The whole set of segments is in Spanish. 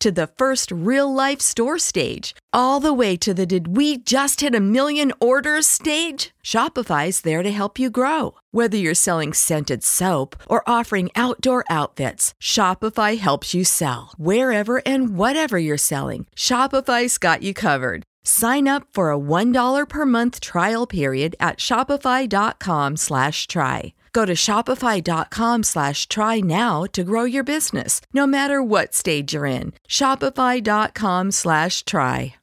to the first real life store stage, all the way to the did we just hit a million orders stage? Shopify's there to help you grow. Whether you're selling scented soap or offering outdoor outfits, Shopify helps you sell. Wherever and whatever you're selling, Shopify's got you covered. Sign up for a $1 per month trial period at shopify.com slash try. Go to shopify.com slash try now to grow your business, no matter what stage you're in. Shopify.com slash try.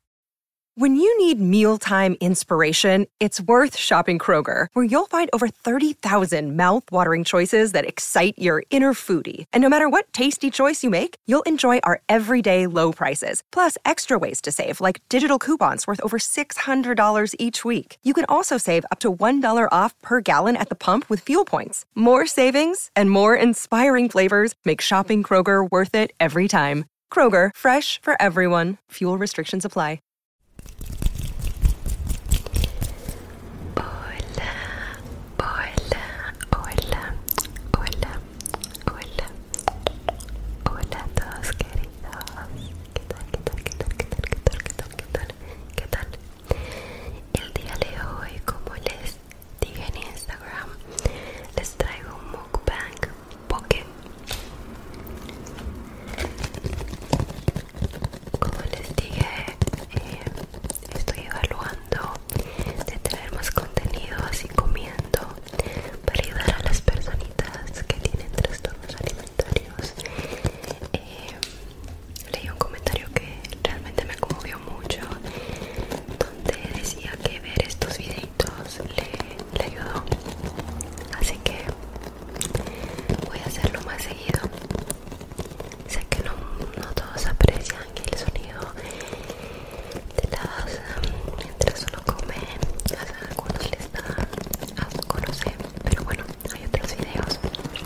When you need mealtime inspiration, it's worth shopping Kroger, where you'll find over 30,000 mouthwatering choices that excite your inner foodie. And no matter what tasty choice you make, you'll enjoy our everyday low prices, plus extra ways to save, like digital coupons worth over $600 each week. You can also save up to $1 off per gallon at the pump with fuel points. More savings and more inspiring flavors make shopping Kroger worth it every time. Kroger, fresh for everyone. Fuel restrictions apply. Hola, hola, hola, hola, hola. Hola a todos, queridos. ¿Qué tal, qué tal, qué tal, qué tal, qué tal, qué tal, qué tal? ¿Qué tal? El día de hoy, como les dije en Instagram, les traigo un mukbang pocket. Como les dije, eh, estoy evaluando de traer más contenido así comiendo para ayudar a las personitas que tienen trastornos alimentarios. Eh, leí un comentario que realmente me conmovió mucho donde decía que ver estos videitos le, ayudó así que voy a hacerlo más seguido sé que no, todos aprecian el sonido de las mientras uno come a algunos les da asco no sé pero bueno hay otros videos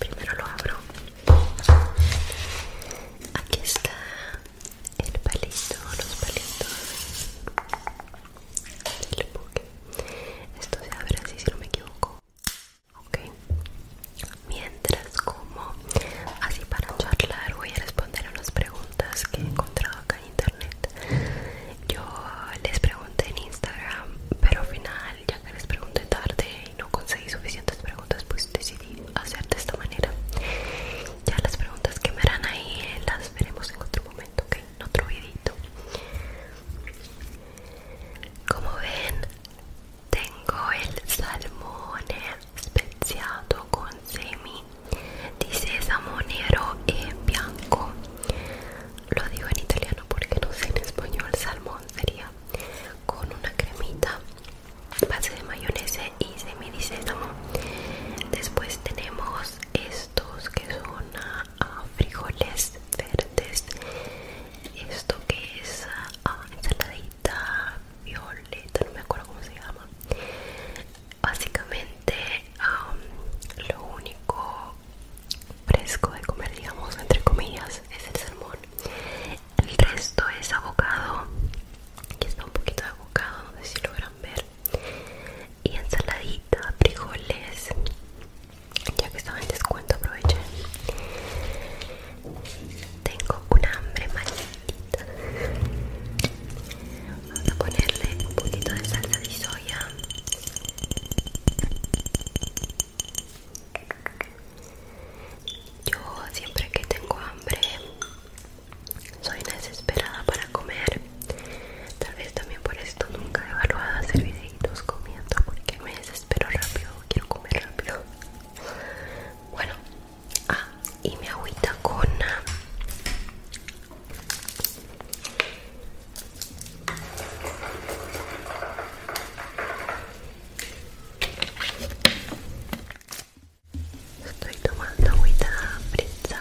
primero lo abro aquí está el palito los palitos del buque esto se abre así si no me equivoco mientras como así para charlar voy a responder a unas preguntas que he encontrado acá en internet yo les pregunté en instagram pero al final ya que les pregunté tarde y no conseguí suficientes preguntas, pues decidí hacer de esta manera. Ya las preguntas que me harán ahí eh, las veremos en otro momento, ¿ok? En otro videito. Como ven, tengo el salmón especiado con semi dice salmonero en bianco lo digo en italiano porque no sé en español salmón sería con una cremita base de mayonesa y sésamo después tenemos estos que son ah, ah, frijoles verdes esto que es ah, ensaladita violeta no me acuerdo cómo se llama básicamente lo único fresco de comer digamos entre comillas es el salmón el resto es abocado aquí está un poquito de abocado no sé si logran ver y ensaladita frijoles ya que estaba en descuento aprovechen tengo una hambre maldita vamos a ponerle un poquito de salsa de soya yo siempre que tengo hambre soy desesperada para comer. Tal vez también por esto nunca he evaluado hacer videitos comiendo porque me desespero rápido, quiero comer rápido. Bueno, ah, y mi agüita con Estoy tomando agüita brillante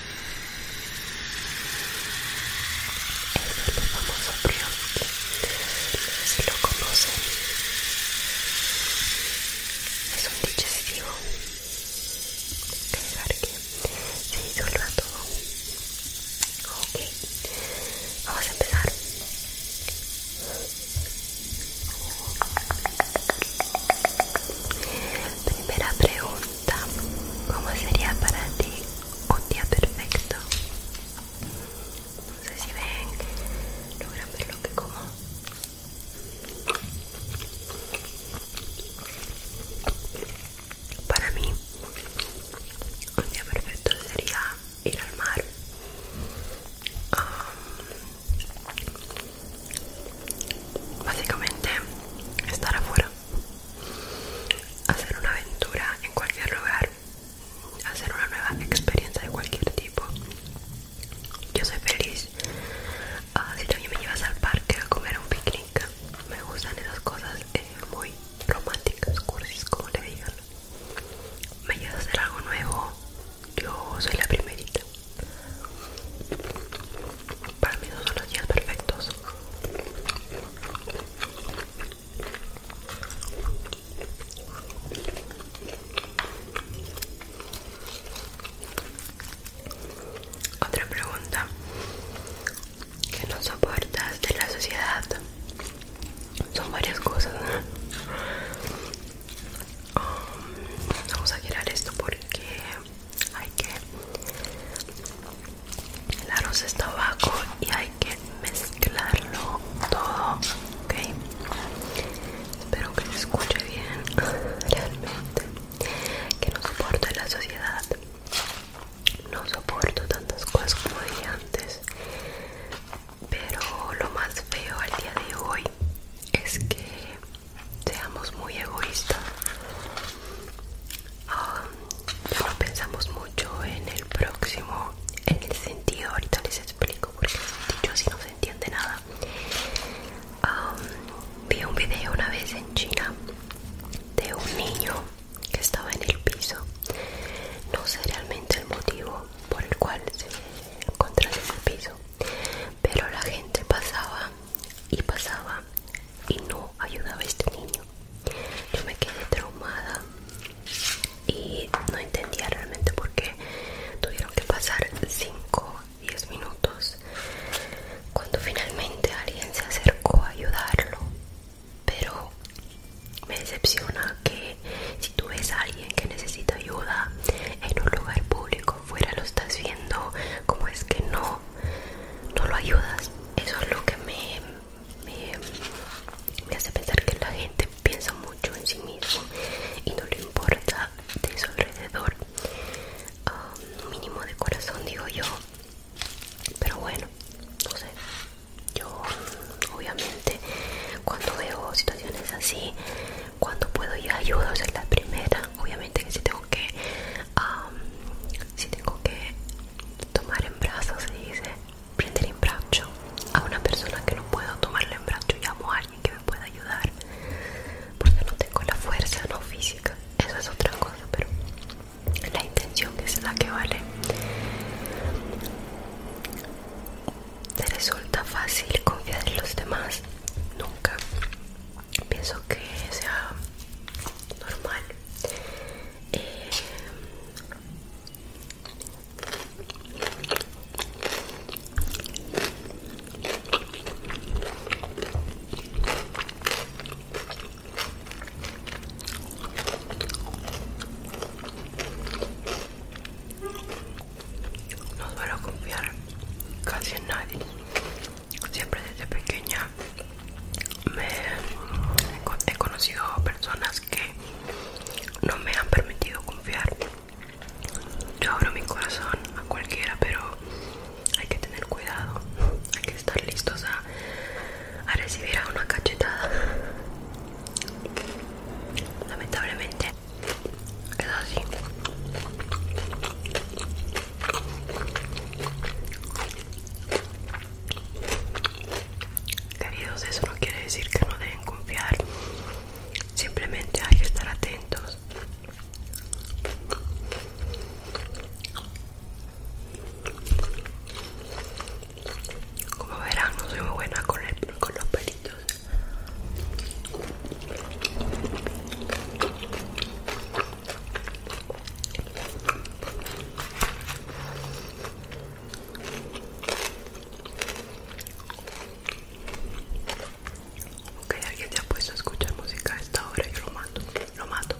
el famoso Brioche, si lo conocen, es un digestivo que dejar que se disuelva todo. Ok, vamos a empezar. Primera pregunta. ¿cómo sería para ti un día perfecto? No sé si ven, logran ver lo que como. Para mí, un día perfecto sería ir al mar, um, Básicamente, estar afuera, hacer una aventura en cualquier lugar, hacer una nueva experiencia de cualquier tipo. Yo soy feliz. Uh, si también me llevas al parque a comer un picnic, me gustan esas cosas eh, muy románticas, cursis, como le digan. Me llevas a hacer algo nuevo, yo soy la primerita. Para mí no son los días perfectos. Otra pregunta que no soportas de la sociedad son varias cosas. Um, vamos a girar esto porque hay que el arroz está abajo y hay que mezclarlo todo ok espero que se escuche bien realmente que no soporto la sociedad no soporto tantas cosas como dije antes pero lo más feo al día de hoy es que seamos muy egoístas. Ah, no pensamos mucho en el próximo, en el sentido, ahorita les explico porque yo así no se entiende nada. Ah, vi un video una vez en China de un niño que estaba en el piso. No sé realmente el motivo por el cual se encontraba en el piso, pero la gente pasaba y pasaba y no ayudaba a este niño. Yo me quedé traumada y no entendía realmente por qué tuvieron que pasar 5, 10 minutos cuando finalmente alguien se acercó a ayudarlo. Pero me decepciona que si tú ves a alguien que necesita ayuda en un lugar público fuera lo estás viendo como es que no no, lo ayudas. Eso es lo que me, me, hace pensar que la gente piensa mucho en sí mismo y no le importa de su alrededor. Un ah, mínimo de corazón, digo yo. Pero bueno, no sé. Yo, obviamente, cuando veo situaciones así, cuando puedo, yo ayudo. O ser la primera obviamente que si tengo que si tengo que tomar en brazos se dice prender en brazo a una persona que no puedo tomarle en brazo llamo a alguien que me pueda ayudar porque no tengo la fuerza no física eso es otra cosa pero la intención que es la que vale te resulta fácil confiar en los demás nunca pienso que sea normal eh, no suelo confiar casi en nadie siempre desde pequeña he conocido personas que no me han permitido confiar. Yo abro mi corazón a cualquiera, pero hay que tener cuidado, hay que estar listos a, a recibir a una cachetada. Lamentablemente es así. Queridos, eso no quiere decir que no deben confiar. Simplemente hay que estar atentos. Como verán, no soy muy buena con, los pelitos. Ok, alguien te ha puesto a escuchar música a esta hora, yo lo mato, lo mato.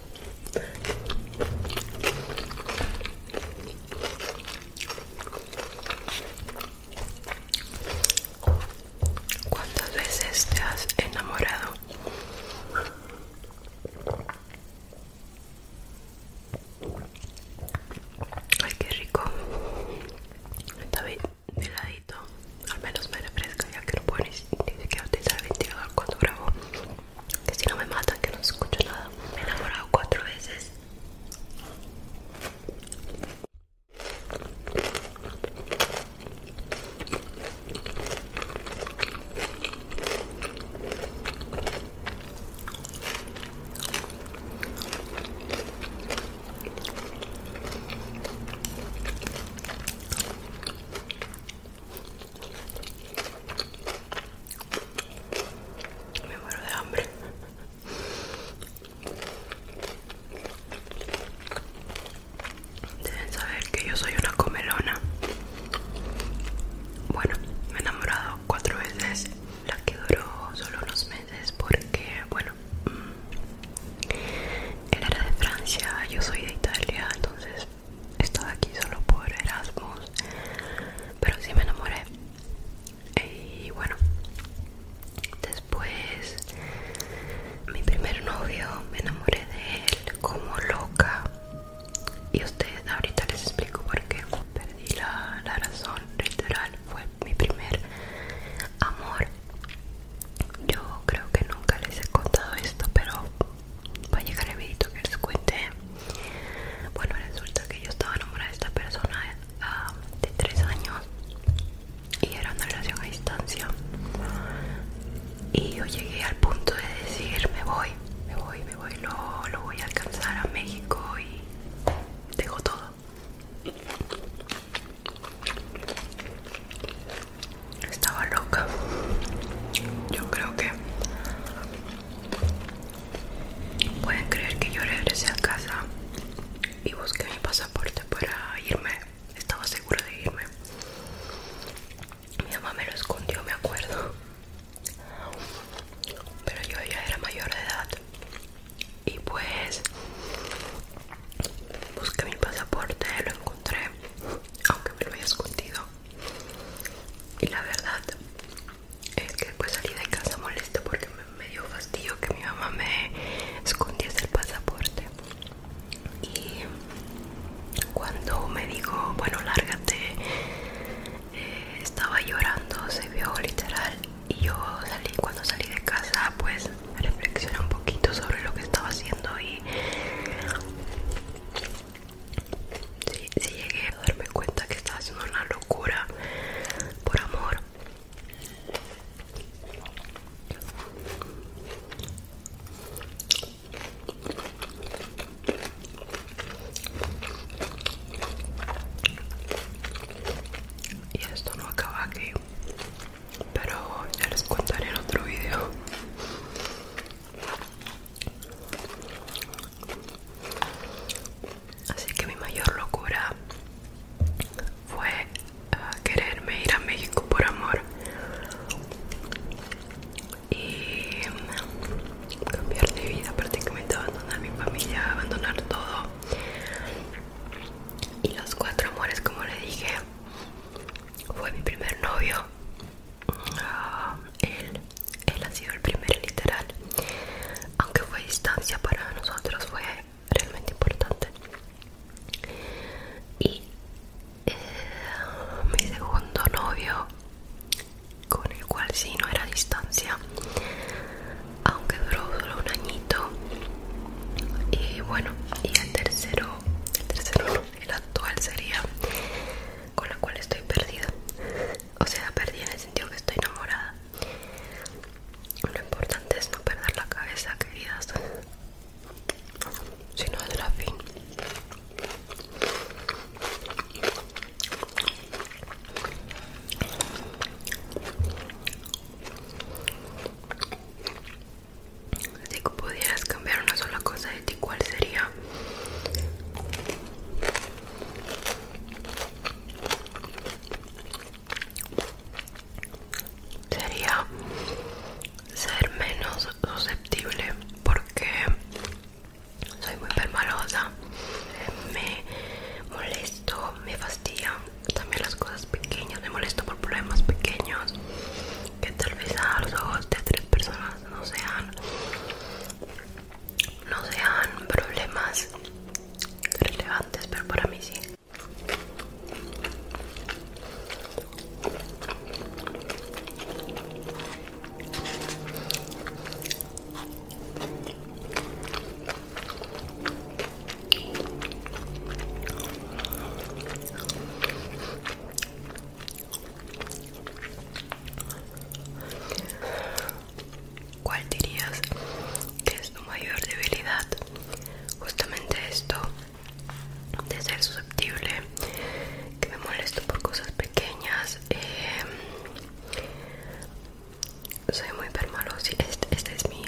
¿Cuántas veces te has enamorado? Ay, qué rico. Está bien heladito. Al menos me refresca ya que no puedo ni, que siquiera utilizar el ventilador cuando grabo. Que si no me matan, que no se escucho nada. Me he enamorado cuatro veces. Me muero de hambre. Deben saber que yo soy una comelona. Bueno, me he enamorado cuatro veces. La que duró solo unos meses porque, bueno, mm, él era de Francia, yo soy de Italia, entonces estaba aquí solo por Erasmus. Pero sí me enamoré. Y bueno, después mi primer novio me enamoré de él como loca y ustedes ahorita les explico por qué perdí la, razón literal fue mi primer amor yo creo que nunca les he contado esto pero va a llegar el videito que les cuente bueno resulta que yo estaba enamorada de esta persona ah, de 3 años y era una relación a distancia y yo llegué al punto de decir me voy, me voy, me voy, lo, lo voy a alcanzar a México y dejo todo. Estaba loca. Yo creo que pueden creer que yo regresé a casa y busqué mi pasaporte para irme. Estaba segura de irme. Mi mamá me lo escondió, me acuerdo. Pero yo ya era mayor de edad. Y pues busqué mi pasaporte, lo encontré, aunque me lo había escondido. Y la verdad es que después salí de casa molesto porque me, me dio fastidio que mi mamá me escondiese el pasaporte. Y cuando me dijo, bueno, lárgate, eh, estaba llorando, se vio literal. Y yo salí, cuando salí de casa, pues reflexioné un poquito sobre lo que estaba haciendo y sí llegué a darme cuenta que estaba haciendo una locura por amor. Y esto no acaba aquí, pero ya les contaré en otro video. Así que mi mayor locura fue eh, quererme ir a México por amor y cambiar de vida, prácticamente abandonar mi familia, abandonar todo. Y los cuatro amores, como le dije, fue mi primer novio. Ah, él, él ha sido el primer literal. Aunque fue distancia para nosotros, fue realmente importante. Y eh, mi segundo novio con el cual sí no era distancia aunque duró solo un añito y bueno y el tercero el tercero el actual sería con la cual estoy perdida o sea perdida en el sentido que estoy enamorada lo importante es no perder la cabeza queridas sino la fin si pudieras cambiar una sola cosa de ti, ¿cuál sería? Sería ser menos susceptible porque soy muy permalosa, me molesto, me fastidia también las cosas pequeñas, me molesto por problemas pequeños que tal vez a los ojos de tres personas no sean, no sean problemas relevantes, pero para mí sí. ¿Cuál dirías que es tu mayor debilidad? Justamente esto de ser susceptible, que me molesto por cosas pequeñas eh, soy muy permalosa esta este es mi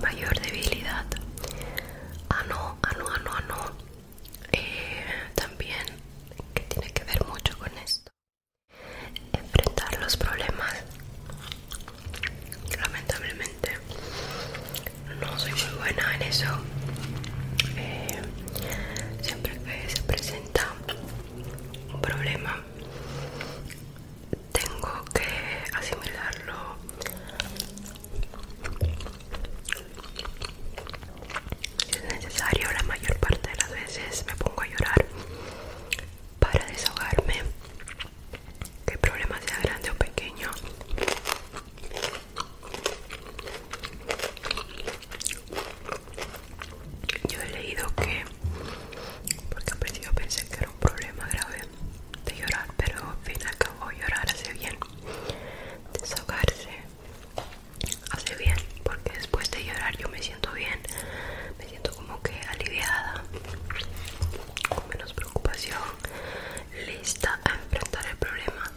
mayor debilidad ah no ah no ah no ah, no eh, también que tiene que ver mucho con esto enfrentar los problemas lamentablemente no soy muy buena en eso eh, siempre que se presenta un problema tengo que asimilarlo es necesario la mayor parte de las veces me pongo a llorar para desahogarme que el problema sea grande o pequeño yo he leído que, porque al principio pensé que era un problema grave de llorar, pero al fin y al cabo llorar hace bien, desahogarse hace bien, porque después de llorar yo me siento bien, me siento como que aliviada, con menos preocupación, lista a enfrentar el problema.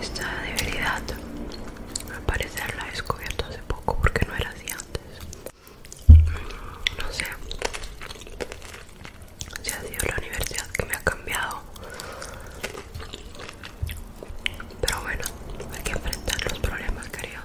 Esta debilidad al parecer la he descubierto hace poco porque no era así antes. No sé si ha sido la universidad que me ha cambiado. Pero bueno, hay que enfrentar los problemas, querido.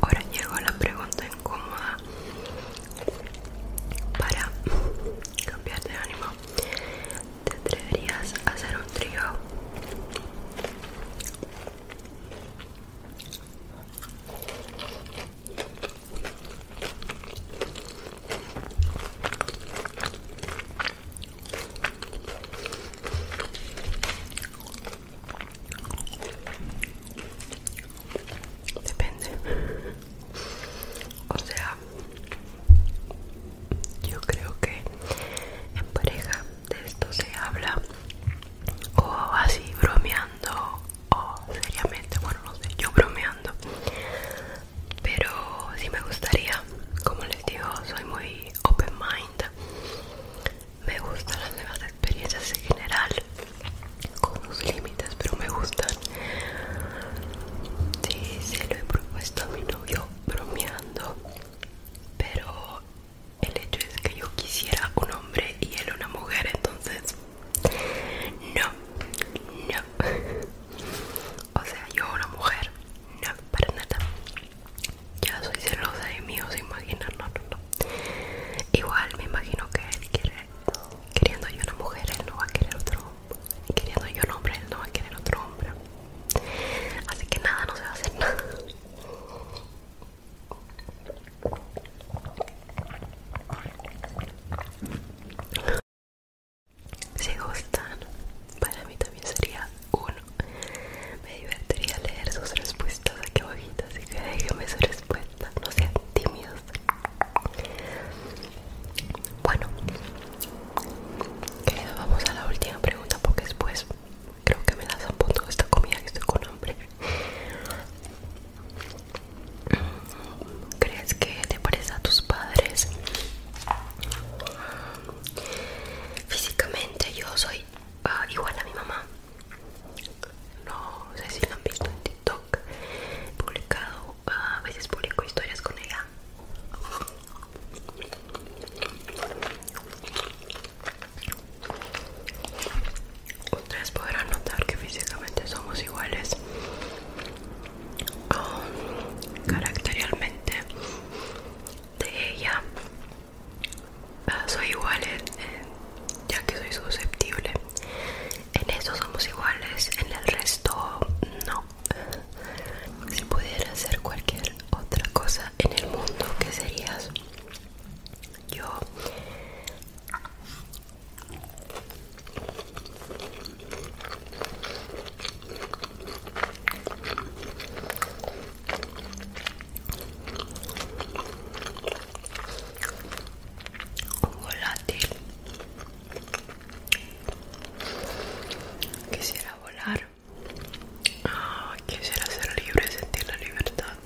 Ahora llegó la pregunta incómoda para cambiar de ánimo. ¿Te atreverías a hacer un trío? Depende. O sea, yo creo que en pareja de esto se habla o así bromeando o seriamente bueno no sé yo bromeando pero sí me gustaría como les digo soy muy open mind me gustan las nuevas experiencias en general con unos límites pero me gusta Sí, se lo he propuesto a mi novio bromeando, pero el hecho es que yo quisiera un hombre y él una mujer, entonces no, no. O sea, yo una mujer, no, para nada. Ya soy celosa de mío os imaginarlo no, no, no. Igual me imagino que él quiere, queriendo yo una mujer, él no va a querer otro queriendo yo un hombre, él no va a querer otro hombre. Así que nada, no se va a hacer nada. Si gustan, para mí también sería uno. Me divertiría leer sus respuestas aquí abajito, así que déjenme su respuesta. No sean tímidos. Bueno, vamos a la última pregunta porque después creo que me las apunto esta comida que estoy con hambre. ¿Crees que te parezca a tus padres? Físicamente yo soy ah, igual a mi mamá. No sé si lo han visto en TikTok. Publicado, ah, a veces publico historias con ella Ustedes podrán notar que físicamente somos iguales. caracterialmente de ella ah, soy igual ya que soy susceptible en eso somos iguales en el resto no si pudieras hacer cualquier otra cosa en el mundo, ¿qué serías? Yo un volátil Quisiera volar. Ah, quisiera ser libre, sentir la libertad.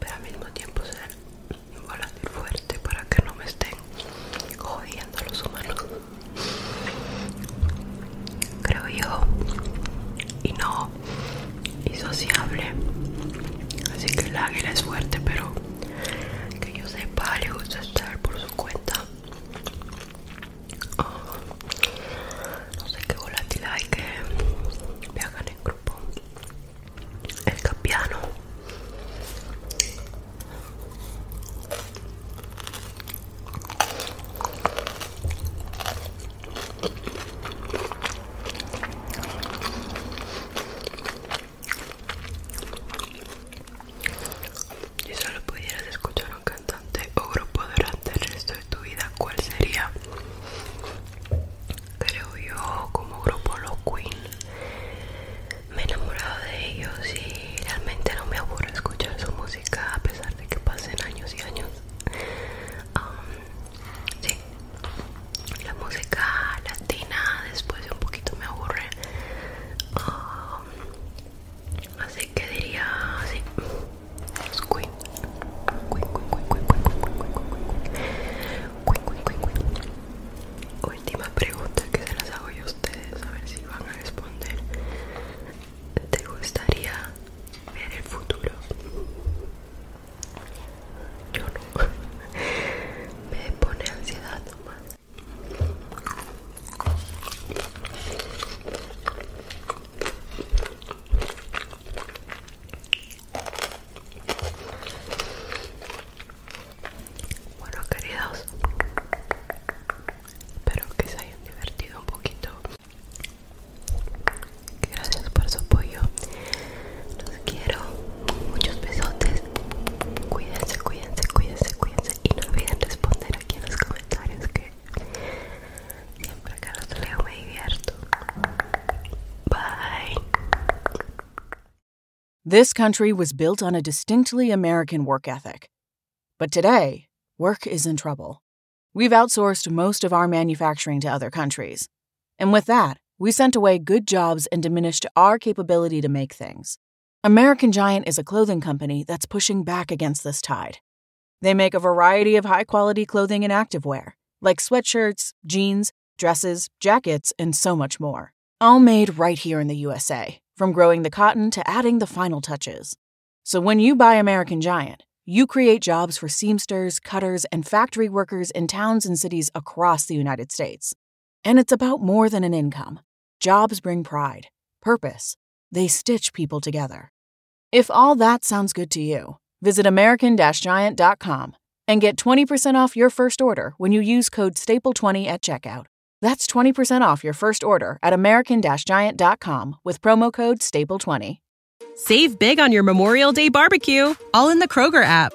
Pero al mismo tiempo ser volante fuerte para que no me estén jodiendo los humanos. Creo yo. Y no. Y sociable. Así que el águila es fuerte, pero que yo sepa le gusta estar por su cuenta ah, no sé qué volátil hay que viajan en grupo el capiano si solo pudieras escuchar a un cantante o grupo durante el resto de tu vida, ¿cuál sería? Creo yo, como grupo Los Queen, me he enamorado de ellos y realmente no me aburro escuchar su música a pesar de que pasen años y años. Um, Sí. La música latina después un poquito me aburre. así que diría sí. Última pregunta que se las hago yo a ustedes, a ver si van a responder. ¿Te gustaría ver el futuro? Yo no. Me pone ansiedad nomás. Bueno queridos, espero que se hayan divertido un poquito. Gracias por su apoyo. This country was built on a distinctly American work ethic. But today, work is in trouble. We've outsourced most of our manufacturing to other countries. And with that, we sent away good jobs and diminished our capability to make things. American Giant is a clothing company that's pushing back against this tide. They make a variety of high quality clothing and activewear, like sweatshirts, jeans, dresses, jackets, and so much more. All made right here in the USA, from growing the cotton to adding the final touches. So when you buy American Giant, you create jobs for seamsters, cutters, and factory workers in towns and cities across the United States. And it's about more than an income. Jobs bring pride, purpose, they stitch people together. If all that sounds good to you, visit American Giant.com and get 20% off your first order when you use code STAPLE20 at checkout. That's 20% off your first order at American Giant.com with promo code STAPLE20. Save big on your Memorial Day barbecue, all in the Kroger app.